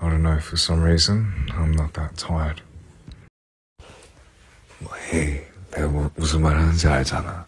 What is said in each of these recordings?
I don't know, for some reason, I'm not that tired. 뭐, 헤이, 내가 뭐, 무슨 말 하는지 알잖아.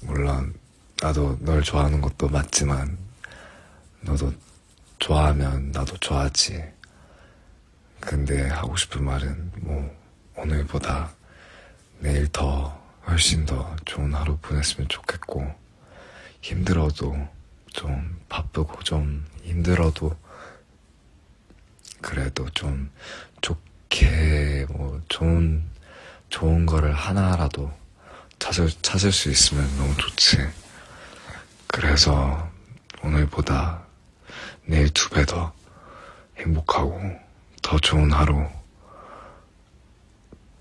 물론, 나도 널 좋아하는 것도 맞지만, 너도 좋아하면 나도 좋아하지. 근데 하고 싶은 말은, 뭐, 오늘보다 내일 더, 훨씬 더 좋은 하루 보냈으면 좋겠고, 힘들어도 좀 바쁘고 좀 힘들어도 그래도 좀 좋게 뭐 좋은 좋은 거를 하나라도 찾을 찾을 수 있으면 너무 좋지. 그래서 오늘보다 내일 두 배 더 행복하고 더 좋은 하루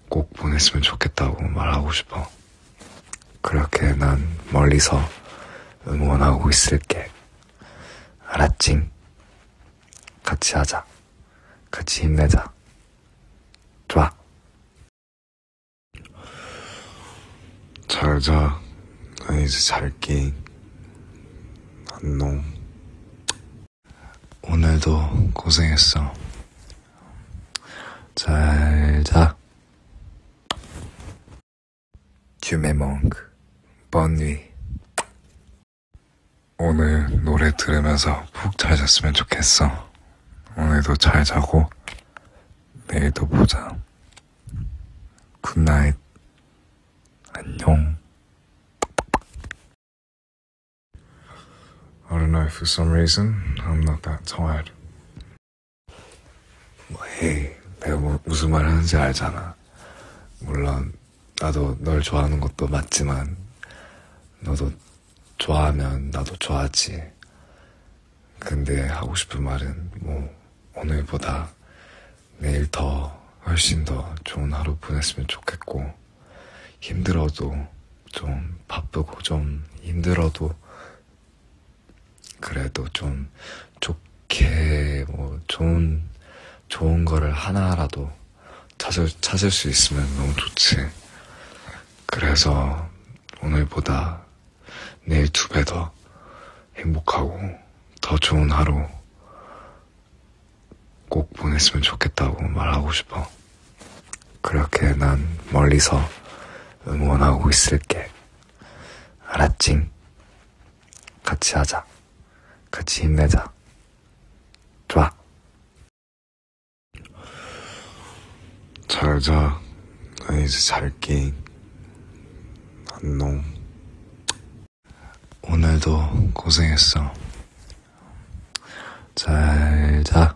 꼭 보냈으면 좋겠다고 말하고 싶어. 그렇게 난 멀리서 응원하고 있을게. 알았징? 같이 하자. 같이 힘내자. 좋아. 잘 자. 나 이제 잘게. 안녕. 오늘도 고생했어. 잘 자. 규메몽크, 번위. 오늘 노래 들으면서 푹 잘 잤으면 좋겠어. 오늘도 잘 자고, 내일도 보자. 굿나잇. 안녕. I don't know, for some reason, I'm not that tired. 뭐, hey, 내가 뭐, 무슨 말 하는지 알잖아. 물론, 나도 널 좋아하는 것도 맞지만, 너도 좋아하면 나도 좋아하지. 근데 하고 싶은 말은, 뭐, 오늘보다 내일 더, 훨씬 더 좋은 하루 보냈으면 좋겠고, 힘들어도, 좀 바쁘고, 좀 힘들어도, 그래도 좀 좋게 뭐 좋은 좋은 거를 하나라도 찾을 찾을 수 있으면 너무 좋지. 그래서 오늘보다 내일 두 배 더 행복하고 더 좋은 하루 꼭 보냈으면 좋겠다고 말하고 싶어. 그렇게 난 멀리서 응원하고 있을게. 알았징? 같이 하자. 같이 힘내자. 좋아. 잘 자. 나 이제 잘게. 안녕. 오늘도 고생했어. 잘 자.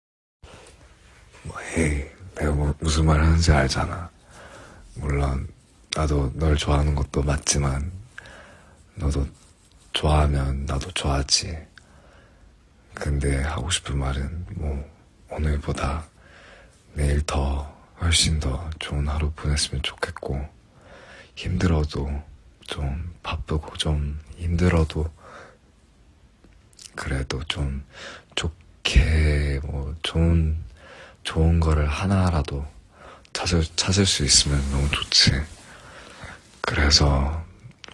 뭐, 에이, 내가 뭐, 무슨 말 하는지 알잖아. 물론, 나도 널 좋아하는 것도 맞지만, 너도 좋아하면 나도 좋아하지. 근데 하고 싶은 말은, 뭐, 오늘보다 내일 더, 훨씬 더 좋은 하루 보냈으면 좋겠고, 힘들어도, 좀 바쁘고 좀 힘들어도 그래도 좀 좋게 뭐 좋은 좋은 거를 하나라도 찾을 찾을 수 있으면 너무 좋지. 그래서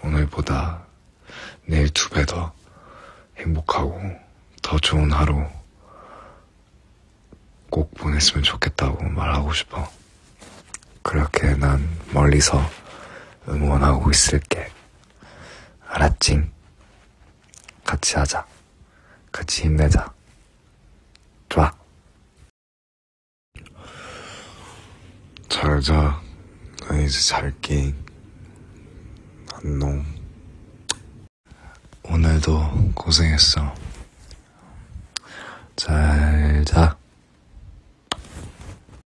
오늘보다 내일 두 배 더 행복하고 더 좋은 하루 꼭 보냈으면 좋겠다고 말하고 싶어. 그렇게 난 멀리서 응원하고 있을게. 알았징? 같이 하자. 같이 힘내자. 좋아. 잘 자. 나 이제 잘게. 안녕. 오늘도 고생했어. 잘 자.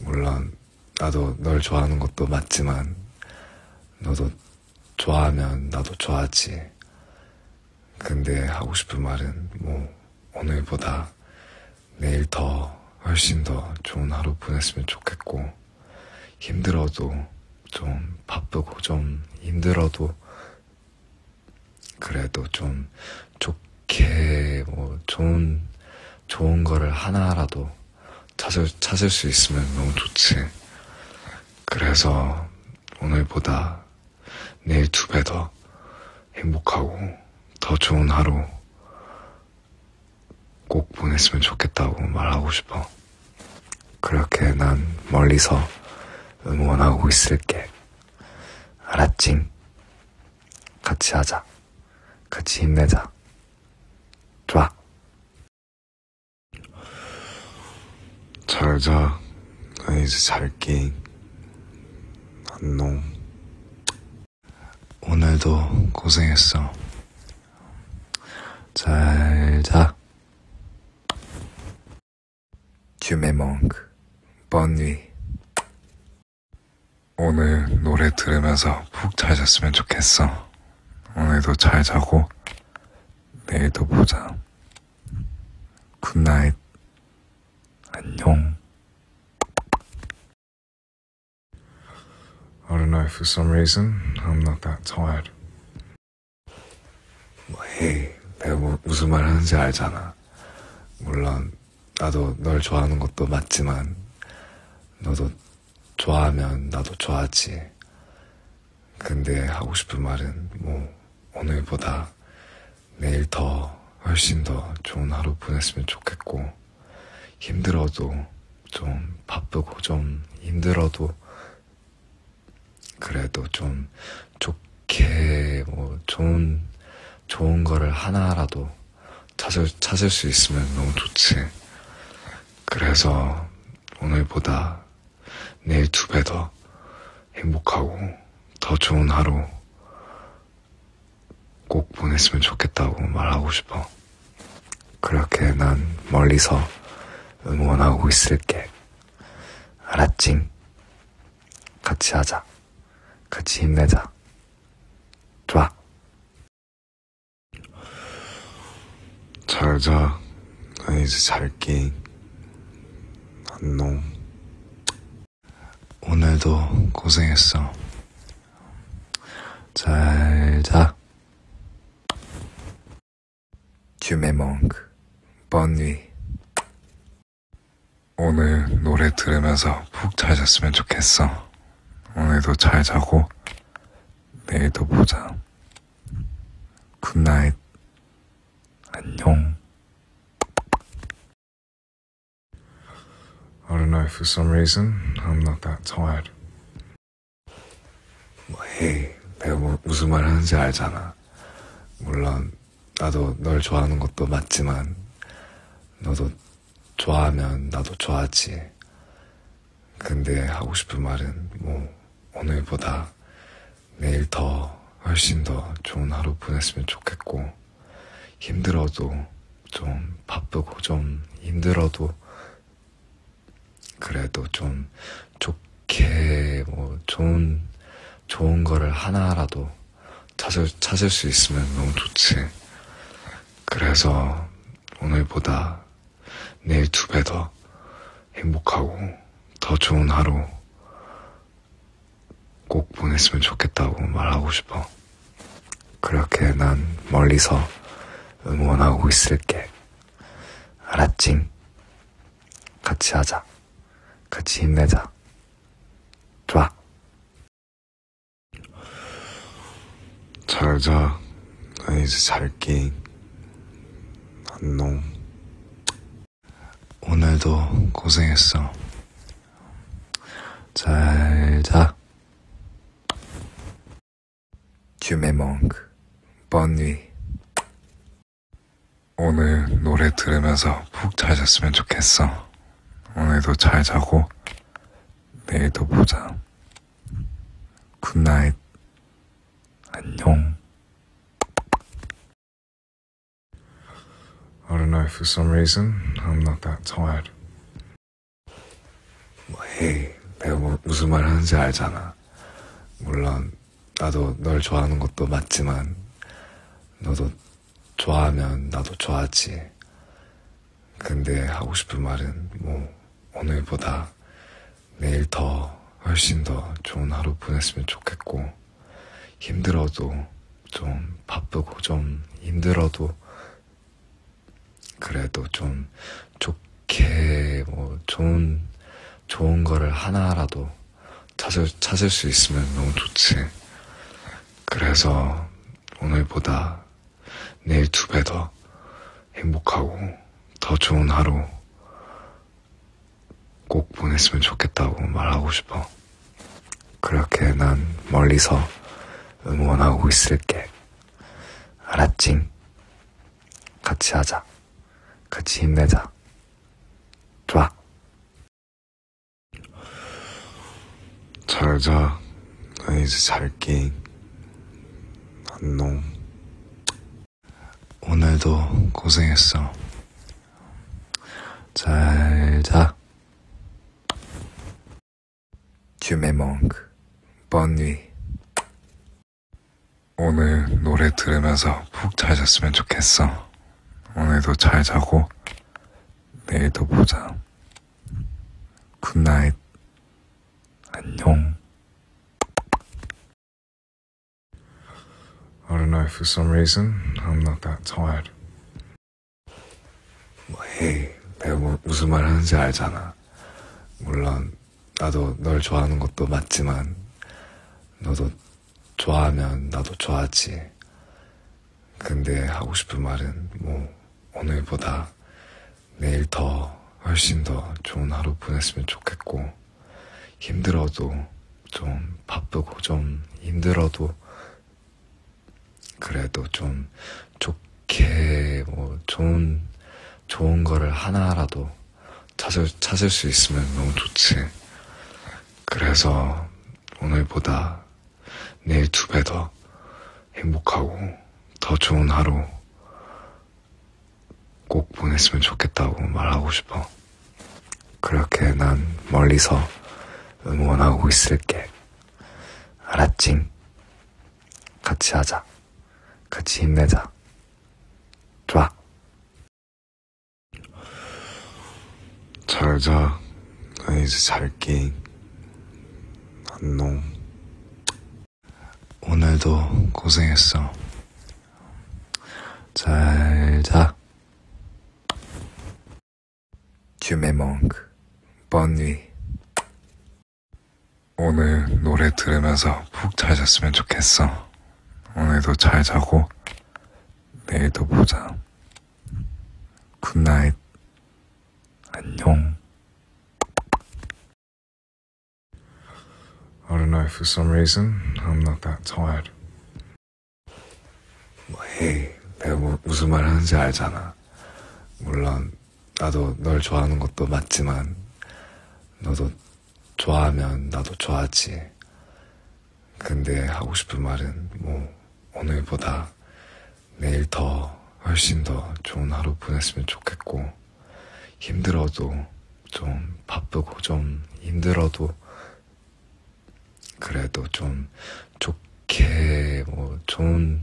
물론 나도 널 좋아하는 것도 맞지만 너도 좋아하면 나도 좋아하지. 근데 하고 싶은 말은 뭐 오늘보다 내일 더 훨씬 더 좋은 하루 보냈으면 좋겠고 힘들어도 좀 바쁘고 좀 힘들어도 그래도 좀 좋게 이렇게 뭐 좋은 좋은 거를 하나라도 찾을 찾을 수 있으면 너무 좋지. 그래서 오늘보다 내일 두 배 더 행복하고 더 좋은 하루 꼭 보냈으면 좋겠다고 말하고 싶어. 그렇게 난 멀리서 응원하고 있을게. 알았징? 같이 하자. 같이 힘내자. 좋아. 잘 자. 나 이제 잘게. 안녕. 오늘도 고생했어. 잘 자. Tu me manques. Bonne nuit. 오늘 노래 들으면서 푹 잘 잤으면 좋겠어. 오늘도 잘 자고 내일도 보자. 굿나잇. 안녕. I don't know, for some reason, I'm not that tired. 뭐, hey, 내가 뭐, 무슨 말 하는지 알잖아. 물론, 나도 널 좋아하는 것도 맞지만 너도 좋아하면 나도 좋아하지. 근데 하고 싶은 말은 뭐 오늘보다 내일 더 훨씬 더 좋은 하루 보냈으면 좋겠고 힘들어도 좀 바쁘고 좀 힘들어도 그래도 좀 좋게 뭐 좋은 좋은 거를 하나라도 찾을, 찾을 수 있으면 너무 좋지. 그래서 오늘보다 내일 두 배 더 행복하고 더 좋은 하루 꼭 보냈으면 좋겠다고 말하고 싶어. 그렇게 난 멀리서 응원하고 있을게. 알았지? 같이 하자. 같이 힘내자. 좋아. 잘 자. 나 이제 잘게. 안녕. 오늘도 고생했어. 잘 자. Tu me manques. Bonne nuit. 오늘 노래 들으면서 푹 잘 잤으면 좋겠어. 오늘도 잘 자고 내일도 보자. 굿나잇. 안녕. I don't know, for some reason, I'm not that tired. 뭐, 헤이, 내가 뭐, 무슨 말 하는지 알잖아. 물론, 나도 널 좋아하는 것도 맞지만, 너도 좋아하면 나도 좋아하지. 근데 하고 싶은 말은 뭐 오늘보다 내일 더 훨씬 더 좋은 하루 보냈으면 좋겠고 힘들어도 좀 바쁘고 좀 힘들어도 그래도 좀 좋게 뭐 좋은 좋은 거를 하나라도 찾을, 찾을 수 있으면 너무 좋지. 그래서 오늘보다 내일 두 배 더 행복하고 더 좋은 하루 꼭 보냈으면 좋겠다고 말하고 싶어. 그렇게 난 멀리서 응원하고 있을게. 알았지? 같이 하자. 같이 힘내자. 좋아. 잘자. 나 이제 잘게. 안녕. 오늘도 고생했어. 잘 자. Tu me manques. Bonne nuit. 오늘 노래 들으면서 푹 잘 잤으면 좋겠어. 오늘도 잘 자고 내일도 보자. 굿나잇. 안녕. I don't know, for some reason, I'm not that tired. 뭐, hey, 내가 뭐, 무슨 말 하는지 알잖아. 물론, 나도 널 좋아하는 것도 맞지만, 너도 좋아하면 나도 좋아하지. 근데 하고 싶은 말은 뭐 오늘보다 내일 더 훨씬 더 좋은 하루 보냈으면 좋겠고 힘들어도 좀 바쁘고 좀 힘들어도 그래도 좀 좋게 뭐 좋은 좋은 거를 하나라도 찾을 찾을 수 있으면 너무 좋지. 그래서 오늘보다 내일 두 배 더 행복하고 더 좋은 하루 꼭 보냈으면 좋겠다고 말하고 싶어. 그렇게 난 멀리서 응원하고 있을게. 알았지? 같이 하자. 같이 힘내자. 좋아. 잘자 나 이제 잘게 안녕 오늘도 고생했어 잘자 Tu me manques. Bonne nuit. 오늘 노래 들으면서 푹 잘 잤으면 좋겠어. 오늘도 잘 자고 내일도 보자. 굿나잇. 안녕. I don't know, for some reason, I'm not that tired. 뭐, 헤이, 내가 뭐, 무슨 말 하는지 알잖아. 물론, 나도 널 좋아하는 것도 맞지만, 너도 좋아하면 나도 좋아하지. 근데 하고 싶은 말은 뭐 오늘보다 내일 더 훨씬 더 좋은 하루 보냈으면 좋겠고 힘들어도 좀 바쁘고 좀 힘들어도 그래도 좀 좋게 뭐 좋은 좋은 거를 하나라도 찾을 찾을 수 있으면 너무 좋지. 그래서 오늘보다 내일 두 배 더 행복하고 더 좋은 하루 꼭 보냈으면 좋겠다고 말하고 싶어. 그렇게 난 멀리서 응원하고 있을게. 알았징? 같이 하자. 같이 힘내자. 좋아. 잘 자. 나 이제 잘게. 안녕. 오늘도 고생했어. 잘 자. Tu me manques. Bonne nuit. 오늘 노래 들으면서 푹 잘 잤으면 좋겠어. 오늘도 잘 자고 내일도 보자. 굿나잇. 안녕. I don't know, for some reason, I'm not that tired. 뭐, hey, 내가 뭐, 무슨 말 하는지 알잖아. 물론, 나도 널 좋아하는 것도 맞지만, 너도 좋아하면 나도 좋아하지. 근데 하고 싶은 말은, 뭐, 오늘보다 내일 더 훨씬 더 좋은 하루 보냈으면 좋겠고 힘들어도 좀 바쁘고 좀 힘들어도 그래도 좀 좋게 뭐 좋은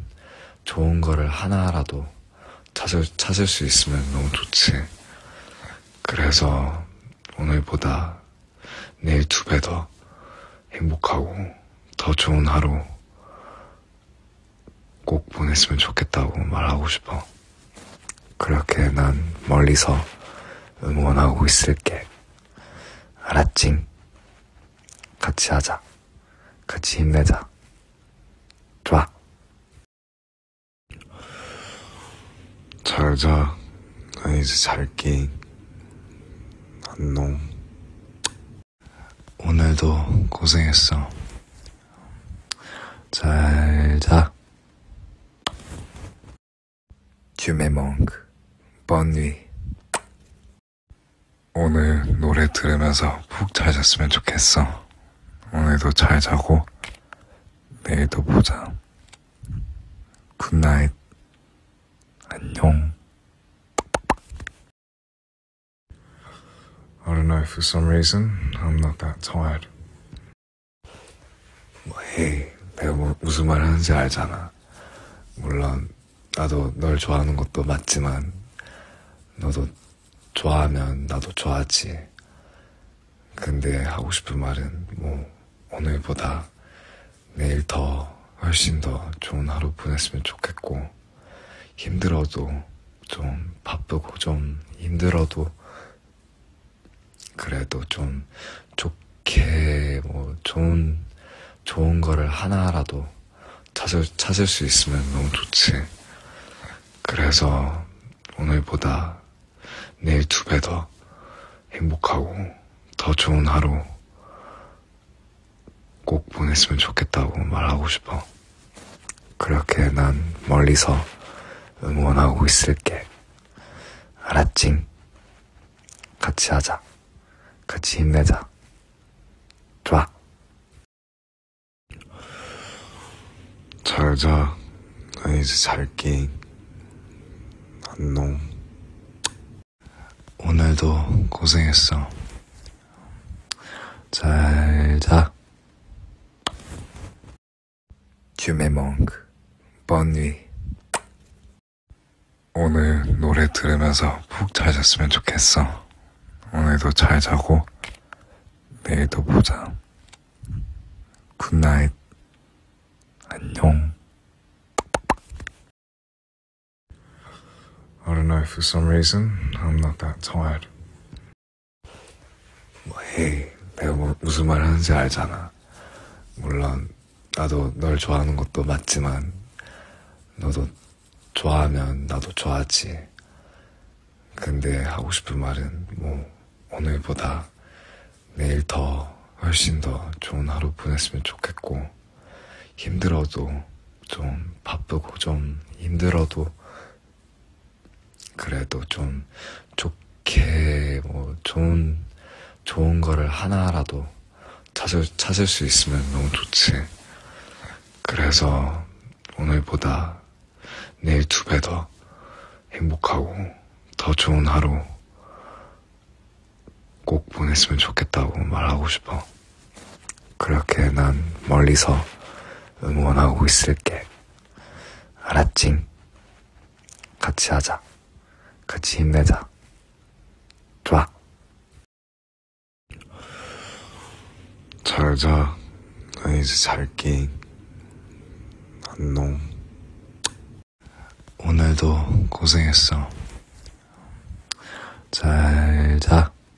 좋은 거를 하나라도 찾을 찾을 수 있으면 너무 좋지. 그래서 오늘보다 내일 두배더 행복하고 더 좋은 하루 꼭 보냈으면 좋겠다고 말하고 싶어. 그렇게 난 멀리서 응원하고 있을게. 알았지? 같이 하자. 같이 힘내자. 좋아. 잘 자. 나 이제 잘게. 안녕. 오늘도 고생했어. 잘 자. Tu me manques. Bonne nuit. 오늘 노래 들으면서 푹 잘 잤으면 좋겠어. 오늘도 잘 자고 내일도 보자. 굿나잇. 안녕. I don't know, for some reason, I'm not that tired. 뭐, hey, 내가 뭐, 무슨 말 하는지 알잖아. 물론, 나도 널 좋아하는 것도 맞지만, 너도 좋아하면 나도 좋아하지. 근데 하고 싶은 말은, 뭐, 오늘보다 내일 더, 훨씬 더 좋은 하루 보냈으면 좋겠고, 힘들어도 좀 바쁘고 좀 힘들어도 그래도 좀 좋게 뭐 좋은 좋은 거를 하나라도 찾을 찾을 수 있으면 너무 좋지. 그래서 오늘보다 내일 두 배 더 행복하고 더 좋은 하루 꼭 보냈으면 좋겠다고 말하고 싶어. 그렇게 난 멀리서 응원하고 있을게. 알았지? 같이 하자. 같이 힘내자. 좋아. 잘 자. 나 이제 잘게. 안녕. 오늘도 고생했어. 잘 자. Tu me manques. Bonne nuit. 오늘 노래 들으면서 푹 잘 잤으면 좋겠어. 오늘도 잘 자고 내일도 보자. 굿나잇. 안녕. I don't know, for some reason, I'm not that tired. 뭐, 헤이, 내가 뭐, 무슨 말 하는지 알잖아. 물론, 나도 널 좋아하는 것도 맞지만, 너도 좋아하면 나도 좋아하지. 근데 하고 싶은 말은, 뭐, 오늘보다 내일 더, 훨씬 더 좋은 하루 보냈으면 좋겠고, 힘들어도 좀 바쁘고 좀 힘들어도 그래도 좀 좋게 뭐 좋은 좋은 거를 하나라도 찾을 찾을 수 있으면 너무 좋지. 그래서 오늘보다 내일 두 배 더 행복하고 더 좋은 하루 꼭 보냈으면 좋겠다고 말하고 싶어. 그렇게 난 멀리서 응원하고 있을게. 알았징? 같이 하자. 같이 힘내자. 좋아. 잘 자. 나 이제 잘게. 안녕. 오늘도 고생했어. 잘 자.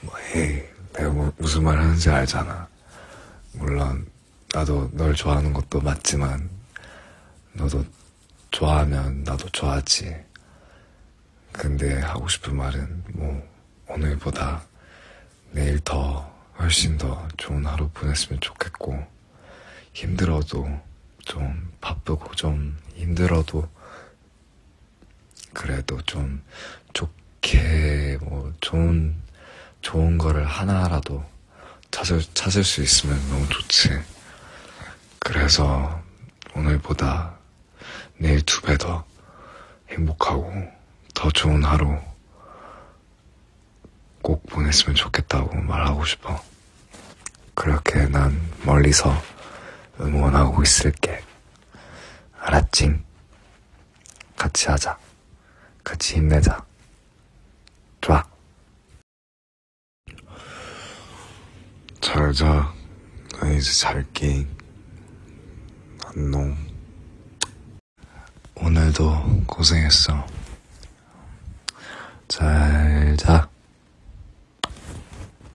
뭐, 에이, 내가 뭐, 무슨 말 하는지 알잖아. 물론, 나도 널 좋아하는 것도 맞지만, 너도 좋아하면 나도 좋아하지. 근데 하고 싶은 말은, 뭐, 오늘보다 내일 더, 훨씬 더 좋은 하루 보냈으면 좋겠고, 힘들어도, 좀 바쁘고 좀 힘들어도 그래도 좀 좋게 뭐 좋은 좋은 거를 하나라도 찾을 찾을 수 있으면 너무 좋지. 그래서 오늘보다 내일 두 배 더 행복하고 더 좋은 하루 꼭 보냈으면 좋겠다고 말하고 싶어. 그렇게 난 멀리서 응원하고 있을게. 알았징? 같이 하자. 같이 힘내자. 좋아. 잘 자. 나 이제 잘게. 안녕. 오늘도 고생했어. 잘 자.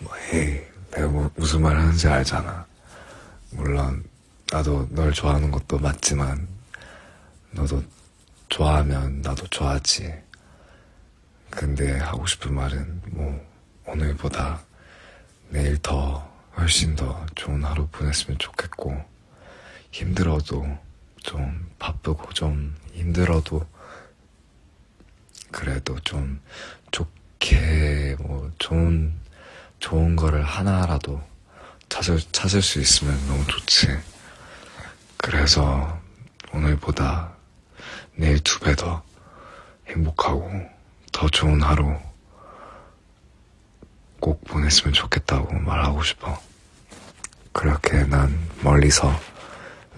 뭐, 에이, 내가 뭐, 무슨 말 하는지 알잖아. 물론, 나도 널 좋아하는 것도 맞지만, 너도 좋아하면 나도 좋아하지. 근데 하고 싶은 말은, 뭐, 오늘보다 내일 더, 훨씬 더 좋은 하루 보냈으면 좋겠고, 힘들어도, 좀 바쁘고 좀 힘들어도 그래도 좀 좋게 뭐 좋은 좋은 거를 하나라도 찾을 찾을 수 있으면 너무 좋지. 그래서 오늘보다 내일 두 배 더 행복하고 더 좋은 하루 꼭 보냈으면 좋겠다고 말하고 싶어. 그렇게 난 멀리서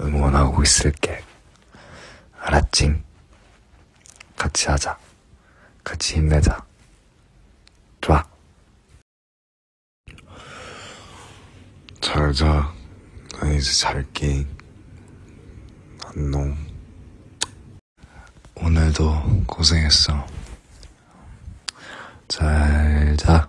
응원하고 있을게. 알았징? 같이 하자. 같이 힘내자. 좋아. 잘 자. 나 이제 잘게. 안녕. 오늘도 고생했어. 잘 자.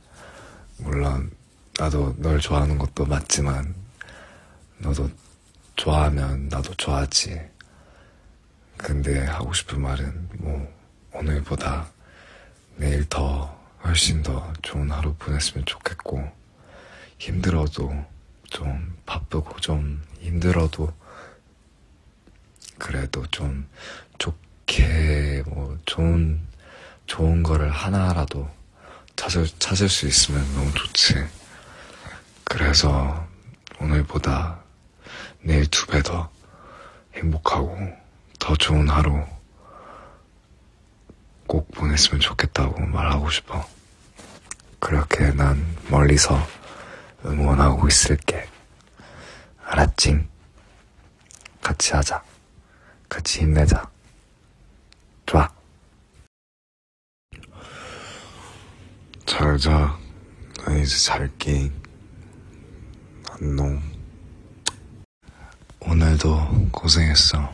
물론 나도 널 좋아하는 것도 맞지만 너도 좋아하면 나도 좋아하지. 근데 하고 싶은 말은 뭐 오늘보다 내일 더 훨씬 더 좋은 하루 보냈으면 좋겠고 힘들어도 좀 바쁘고 좀 힘들어도 그래도 좀 좋게 이렇게 뭐 좋은 좋은 거를 하나라도 찾을 찾을 수 있으면 너무 좋지. 그래서 오늘보다 내일 두 배 더 행복하고 더 좋은 하루 꼭 보냈으면 좋겠다고 말하고 싶어. 그렇게 난 멀리서 응원하고 있을게. 알았지? 같이 하자. 같이 힘내자. 좋아. 잘 자. 나 이제 잘게. 안녕. 오늘도 고생했어.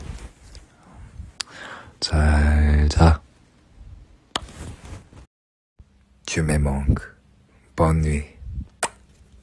잘 자. Tu me manques. Bonne nuit.